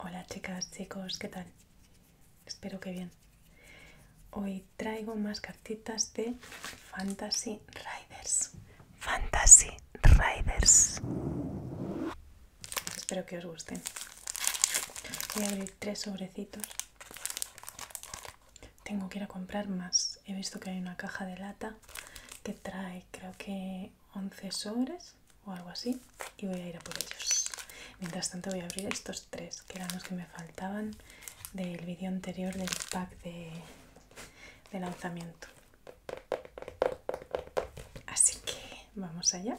Hola chicas, chicos, ¿qué tal? Espero que bien. Hoy traigo más cartitas de Fantasy Riders. Fantasy Riders. Espero que os gusten. Voy a abrir tres sobrecitos tengo que ir a comprar más. He visto que hay una caja de lata que trae creo que 11 sobres o algo así y voy a ir a por ellos. Mientras tanto voy a abrir estos tres que eran los que me faltaban del vídeo anterior del pack de, lanzamiento. Así que vamos allá.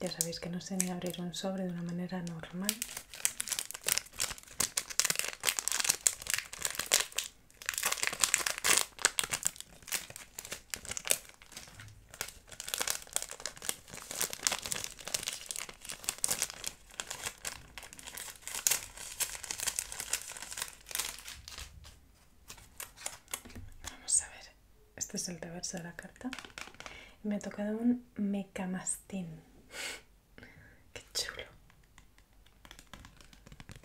Ya sabéis que no se ni abrir un sobre de una manera normal. Vamos a ver, este es el reverso de la carta. Me ha tocado un mecamastín. Qué chulo.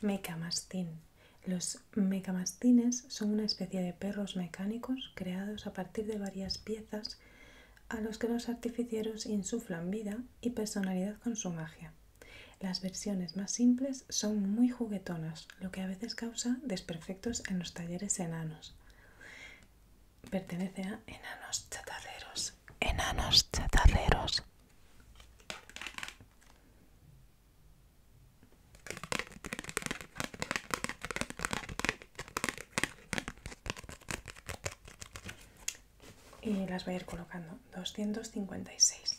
Mecamastín. Los mecamastines son una especie de perros mecánicos creados a partir de varias piezas a los que los artificieros insuflan vida y personalidad con su magia. Las versiones más simples son muy juguetonas, lo que a veces causa desperfectos en los talleres enanos. Pertenece a enanos chatarreros. Enanos chatarreros. Y las voy a ir colocando. 256.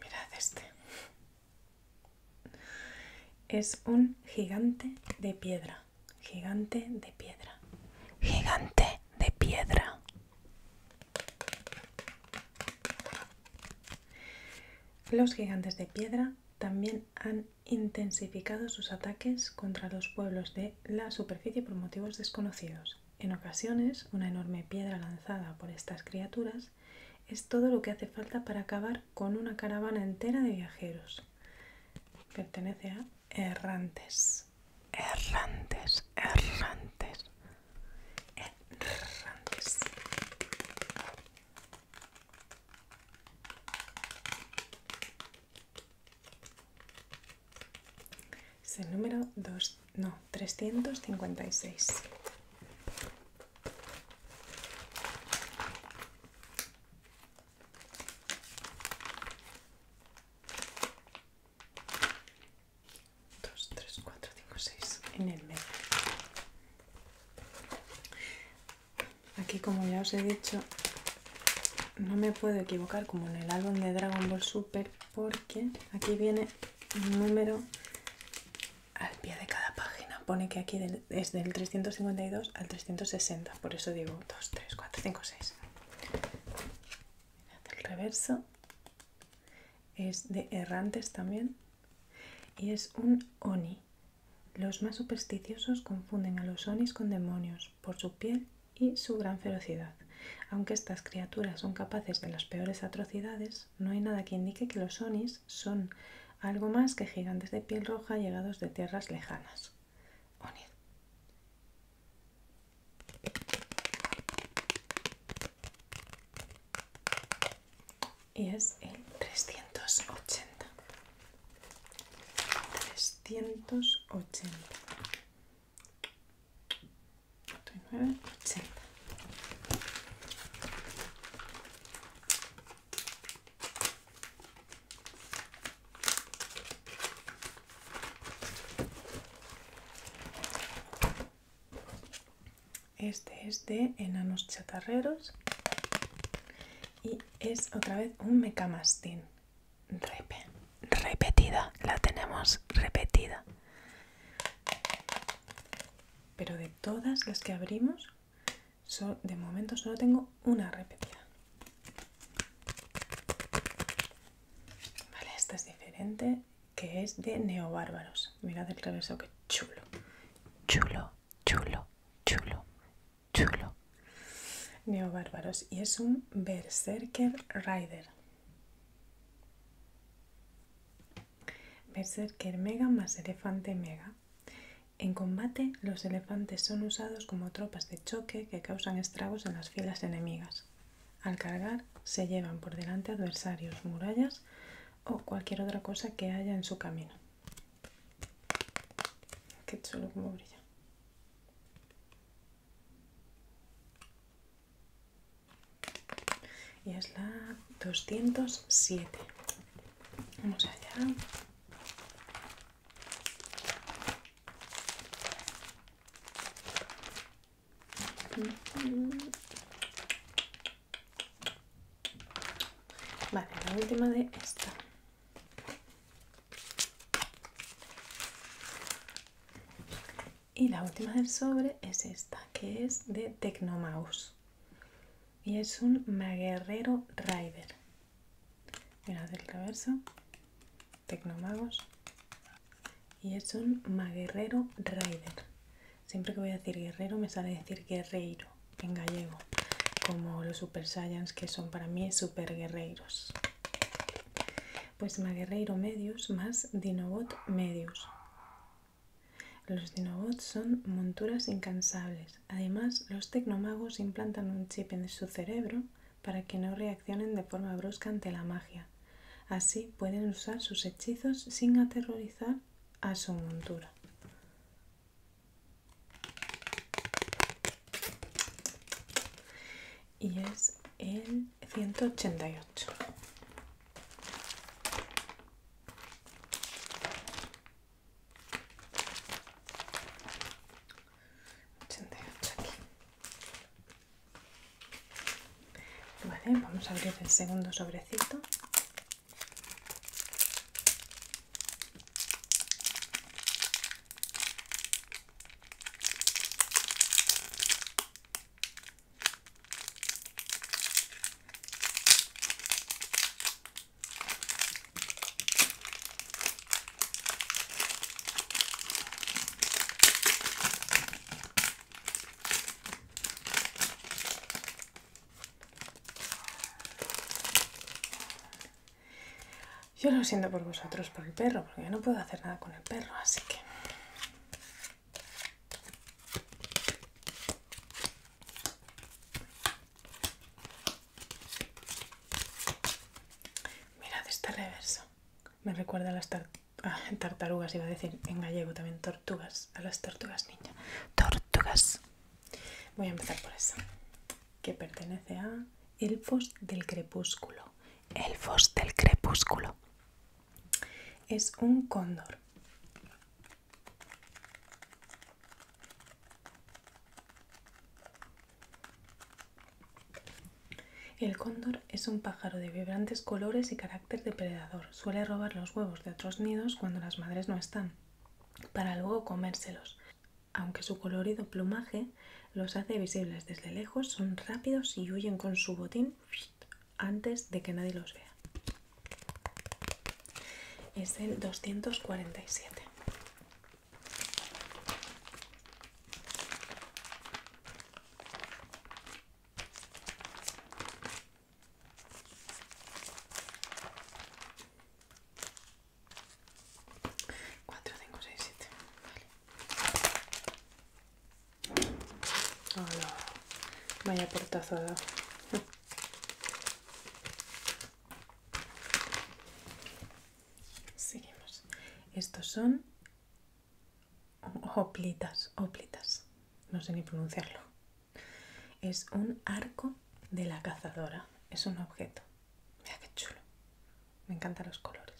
Mirad este. Es un gigante de piedra. Gigante de piedra. Gigante de piedra. Los gigantes de piedra también han intensificado sus ataques contra los pueblos de la superficie por motivos desconocidos. En ocasiones, una enorme piedra lanzada por estas criaturas es todo lo que hace falta para acabar con una caravana entera de viajeros. Pertenece a errantes. Errantes, errantes. Errantes. Es el número 2, no, 356. 2, 3, 4, 5, 6. En el medio. Aquí, como ya os he dicho, no me puedo equivocar como en el álbum de Dragon Ball Super porque aquí viene un número al pie de cada página. Pone que aquí es del 352 al 360, por eso digo 2, 3, 4, 5, 6. El reverso es de errantes también y es un oni. Los más supersticiosos confunden a los onis con demonios por su piel y su gran ferocidad. Aunque estas criaturas son capaces de las peores atrocidades, no hay nada que indique que los onis son algo más que gigantes de piel roja llegados de tierras lejanas. Onis. Y es el 380. 380. Este es de enanos chatarreros y es otra vez un mecamastín repe repetida, la tenemos repetida. Pero de todas las que abrimos, de momento solo tengo una repetida. Vale, esta es diferente, que es de Neobárbaros. Mirad el reverso, que chulo. Chulo, chulo, chulo, chulo. Neobárbaros. Y es un Berserker Rider. Berserker Mega más Elefante Mega. En combate, los elefantes son usados como tropas de choque que causan estragos en las filas enemigas. Al cargar, se llevan por delante adversarios, murallas o cualquier otra cosa que haya en su camino. Qué chulo como brilla y es la 207 vamos allá Vale, la última de esta. Y la última del sobre es esta, que es de Tecnomagos Y es un Maguerrero Rider. hacer el reverso. Tecnomagos. Y es un Maguerrero Rider. Siempre que voy a decir guerrero me sale decir guerreiro en gallego. Como los Super Saiyans que son para mí super guerreros. Pues Maguerreiro Medius más Dinobot Medius. Los Dinobots son monturas incansables. Además, los tecnomagos implantan un chip en su cerebro para que no reaccionen de forma brusca ante la magia. Así pueden usar sus hechizos sin aterrorizar a su montura y es el 188 88 aquí vale vamos a abrir el segundo sobrecito yo lo siento por vosotros, por el perro, porque yo no puedo hacer nada con el perro, así que Mirad este reverso. Me recuerda a las ah, tartarugas, iba a decir en gallego también tortugas, a las tortugas niña, Tortugas. Voy a empezar por eso. que pertenece a Elfos del Crepúsculo. Elfos del Crepúsculo es un cóndor. El cóndor es un pájaro de vibrantes colores y carácter depredador. Suele robar los huevos de otros nidos cuando las madres no están, para luego comérselos. Aunque su colorido plumaje los hace visibles desde lejos, son rápidos y huyen con su botín antes de que nadie los vea. Es el 247. Cuatro, cinco, siete. Hola. Ah, Vaya portazo Seguimos. Estos son hoplitas, hoplitas. No sé ni pronunciarlo. Es un arco de la cazadora. Es un objeto. Mira qué chulo. Me encantan los colores.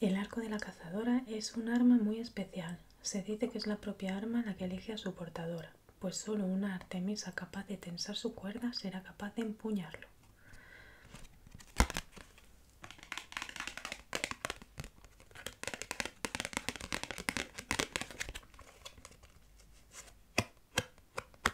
El arco de la cazadora es un arma muy especial. Se dice que es la propia arma la que elige a su portadora, pues solo una Artemisa capaz de tensar su cuerda será capaz de empuñarlo.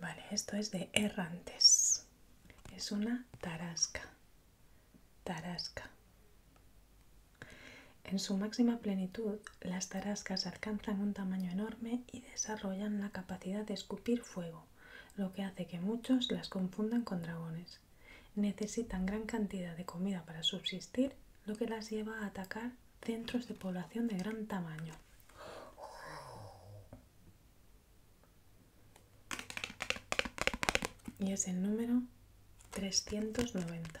Vale, esto es de errantes. Es una tarasca. Tarasca. En su máxima plenitud, las tarascas alcanzan un tamaño enorme y desarrollan la capacidad de escupir fuego, lo que hace que muchos las confundan con dragones. Necesitan gran cantidad de comida para subsistir, lo que las lleva a atacar centros de población de gran tamaño. Y es el número 390.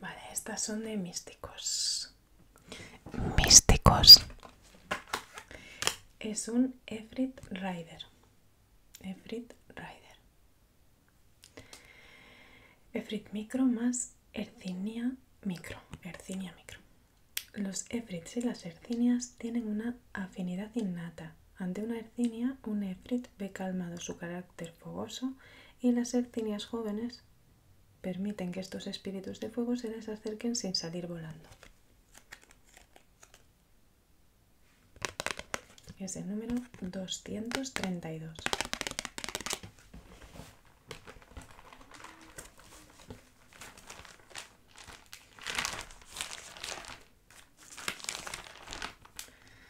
Vale, estas son de místicos. Místicos. Es un Efrit Rider. Efrit Rider. Efrit Micro más Ercinia Micro. Ercinia Micro. Los Efrits y las Ercinias tienen una afinidad innata. Ante una Ercinia, un Efrit ve calmado su carácter fogoso y las Ercinias jóvenes permiten que estos espíritus de fuego se les acerquen sin salir volando. Es el número 232.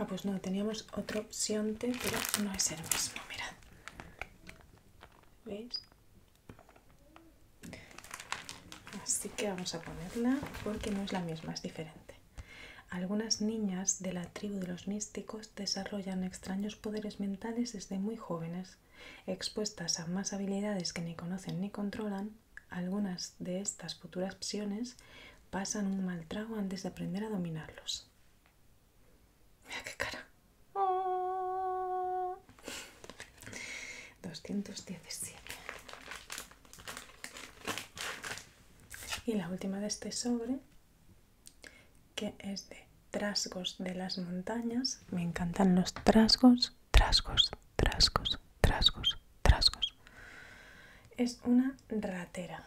Ah, pues no, teníamos otra opción pero no es el mismo, mirad. ¿Veis? Así que vamos a ponerla porque no es la misma, es diferente. Algunas niñas de la tribu de los místicos desarrollan extraños poderes mentales desde muy jóvenes expuestas a más habilidades que ni conocen ni controlan, algunas de estas futuras opciones pasan un mal trago antes de aprender a dominarlos. Mira qué cara. 217. Y la última de este sobre, que es de trasgos de las montañas. Me encantan los trasgos, trasgos, trasgos, trasgos, trasgos. Es una ratera.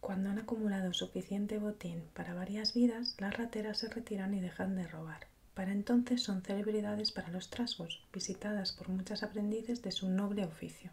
Cuando han acumulado suficiente botín para varias vidas, las rateras se retiran y dejan de robar. Para entonces son celebridades para los trasgos, visitadas por muchas aprendices de su noble oficio.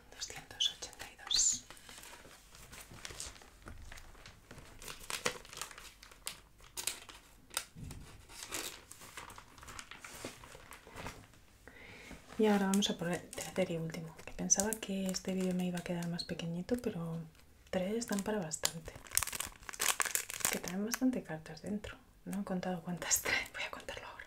282. Y ahora vamos a por el tercer y último, que pensaba que este vídeo me iba a quedar más pequeñito, pero tres están para bastante. Que traen bastante cartas dentro. No he contado cuántas tres, voy a contarlo ahora.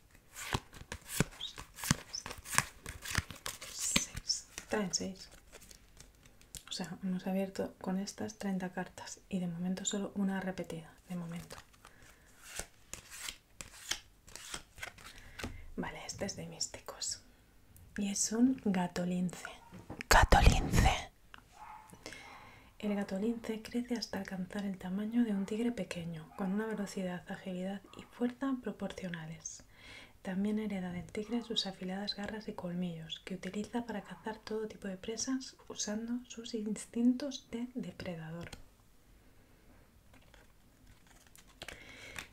6. Traen 6. O sea, hemos abierto con estas 30 cartas y de momento solo una repetida. De momento. Vale, este es de místicos. Y es un gatolince. Gatolince. El gatolince crece hasta alcanzar el tamaño de un tigre pequeño con una velocidad, agilidad y fuerza proporcionales. También hereda del tigre sus afiladas garras y colmillos, que utiliza para cazar todo tipo de presas usando sus instintos de depredador.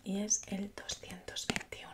Y es el 221.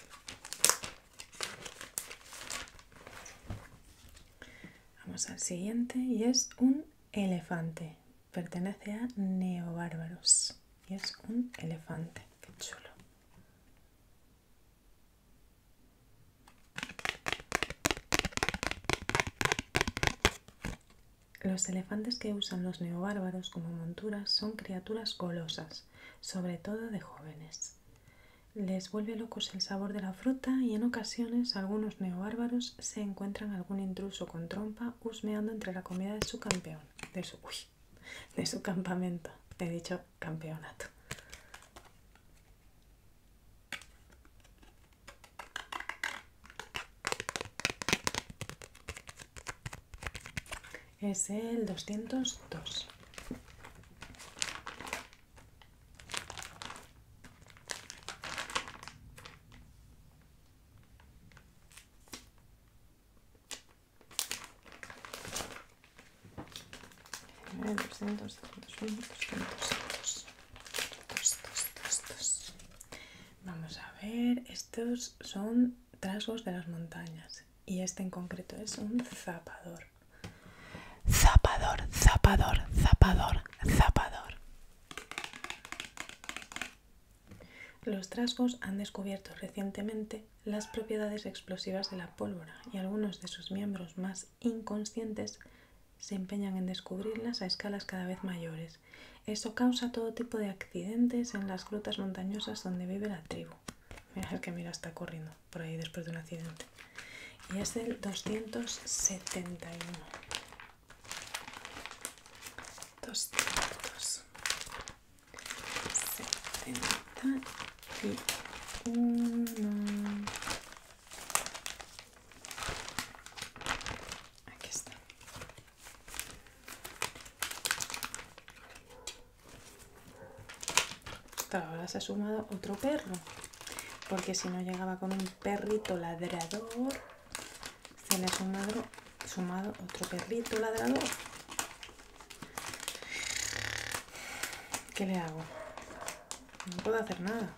Vamos al siguiente y es un elefante. Pertenece a Neobárbaros y es un elefante. Qué chulo. Los elefantes que usan los neobárbaros como monturas son criaturas golosas sobre todo de jóvenes. Les vuelve locos el sabor de la fruta y en ocasiones algunos neobárbaros se encuentran algún intruso con trompa husmeando entre la comida de su campeón, de su, de su campamento, he dicho campeonato es el 202 Vamos a ver, estos son trasgos de las montañas y este en concreto es un zapador. Zapador, zapador, zapador, zapador. Los trasgos han descubierto recientemente las propiedades explosivas de la pólvora y algunos de sus miembros más inconscientes se empeñan en descubrirlas a escalas cada vez mayores. Eso causa todo tipo de accidentes en las grutas montañosas donde vive la tribu. Mira que mira está corriendo por ahí después de un accidente. Y es del 271. 271. Aquí está. Ahora se ha sumado otro perro. Porque si no llegaba con un perrito ladrador, se le ha sumado, sumado otro perrito ladrador. ¿Qué le hago? No puedo hacer nada.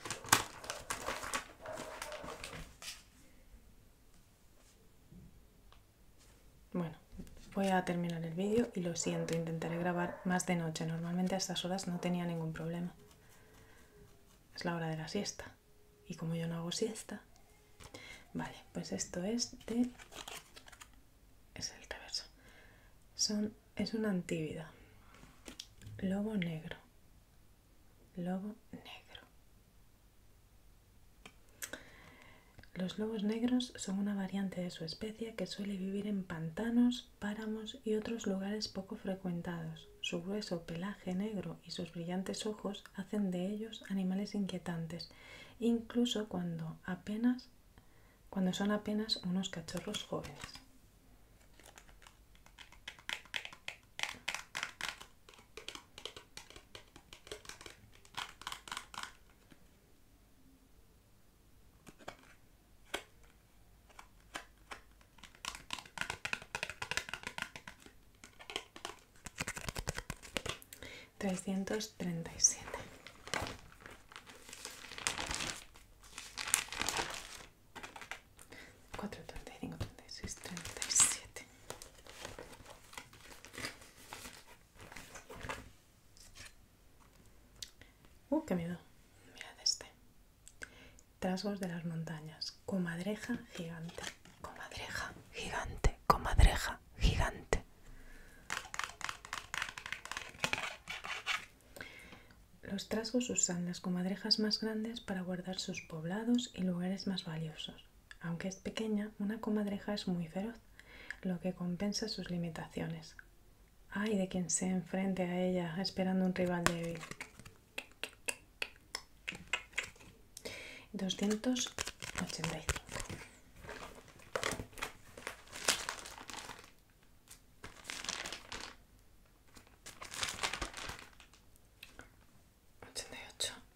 Bueno, voy a terminar el vídeo y lo siento, intentaré grabar más de noche. Normalmente a estas horas no tenía ningún problema. Es la hora de la siesta. Y como yo no hago siesta... Vale, pues esto es de... Es el reverso. Son... Es una antívida, Lobo negro. Lobo negro. Los lobos negros son una variante de su especie que suele vivir en pantanos, páramos y otros lugares poco frecuentados. Su grueso pelaje negro y sus brillantes ojos hacen de ellos animales inquietantes, incluso cuando son apenas unos cachorros jóvenes. 337 435 36, 37 Uh, qué miedo. Mirad este. Trasgos de las montañas. Comadreja gigante. Comadreja gigante. Comadreja gigante. Los trasgos usan las comadrejas más grandes para guardar sus poblados y lugares más valiosos. Aunque es pequeña, una comadreja es muy feroz, lo que compensa sus limitaciones. Ay de quien se enfrente a ella esperando un rival débil. 285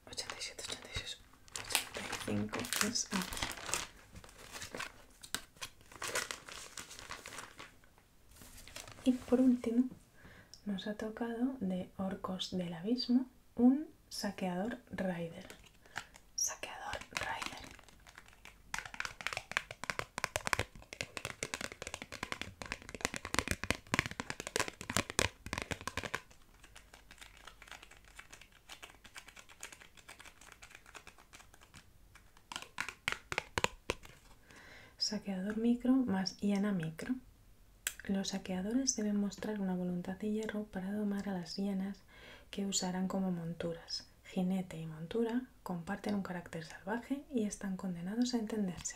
ochenta y 87, 86, 85 es Y por último, nos ha tocado de Orcos del Abismo un saqueador Raider. Saqueador Raider. Saqueador micro más hiena micro. Los saqueadores deben mostrar una voluntad de hierro para domar a las hienas que usarán como monturas. Jinete y montura comparten un carácter salvaje y están condenados a entenderse.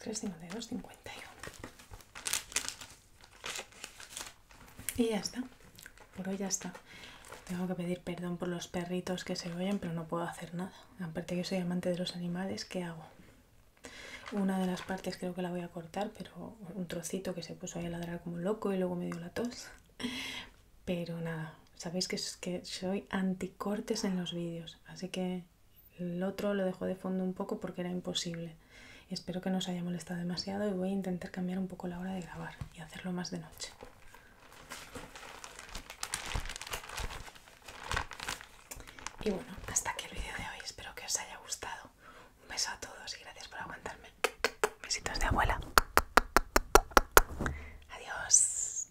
352 51 y ya está por hoy ya está tengo que pedir perdón por los perritos que se oyen pero no puedo hacer nada aparte que soy amante de los animales ¿qué hago? una de las partes creo que la voy a cortar pero un trocito que se puso ahí a ladrar como loco y luego me dio la tos pero nada sabéis que, es, que soy anticortes en los vídeos así que el otro lo dejó de fondo un poco porque era imposible. Espero que no os haya molestado demasiado y voy a intentar cambiar un poco la hora de grabar y hacerlo más de noche. Y bueno, hasta aquí el vídeo de hoy. Espero que os haya gustado. Un beso a todos y gracias por aguantarme. Besitos de abuela. Adiós.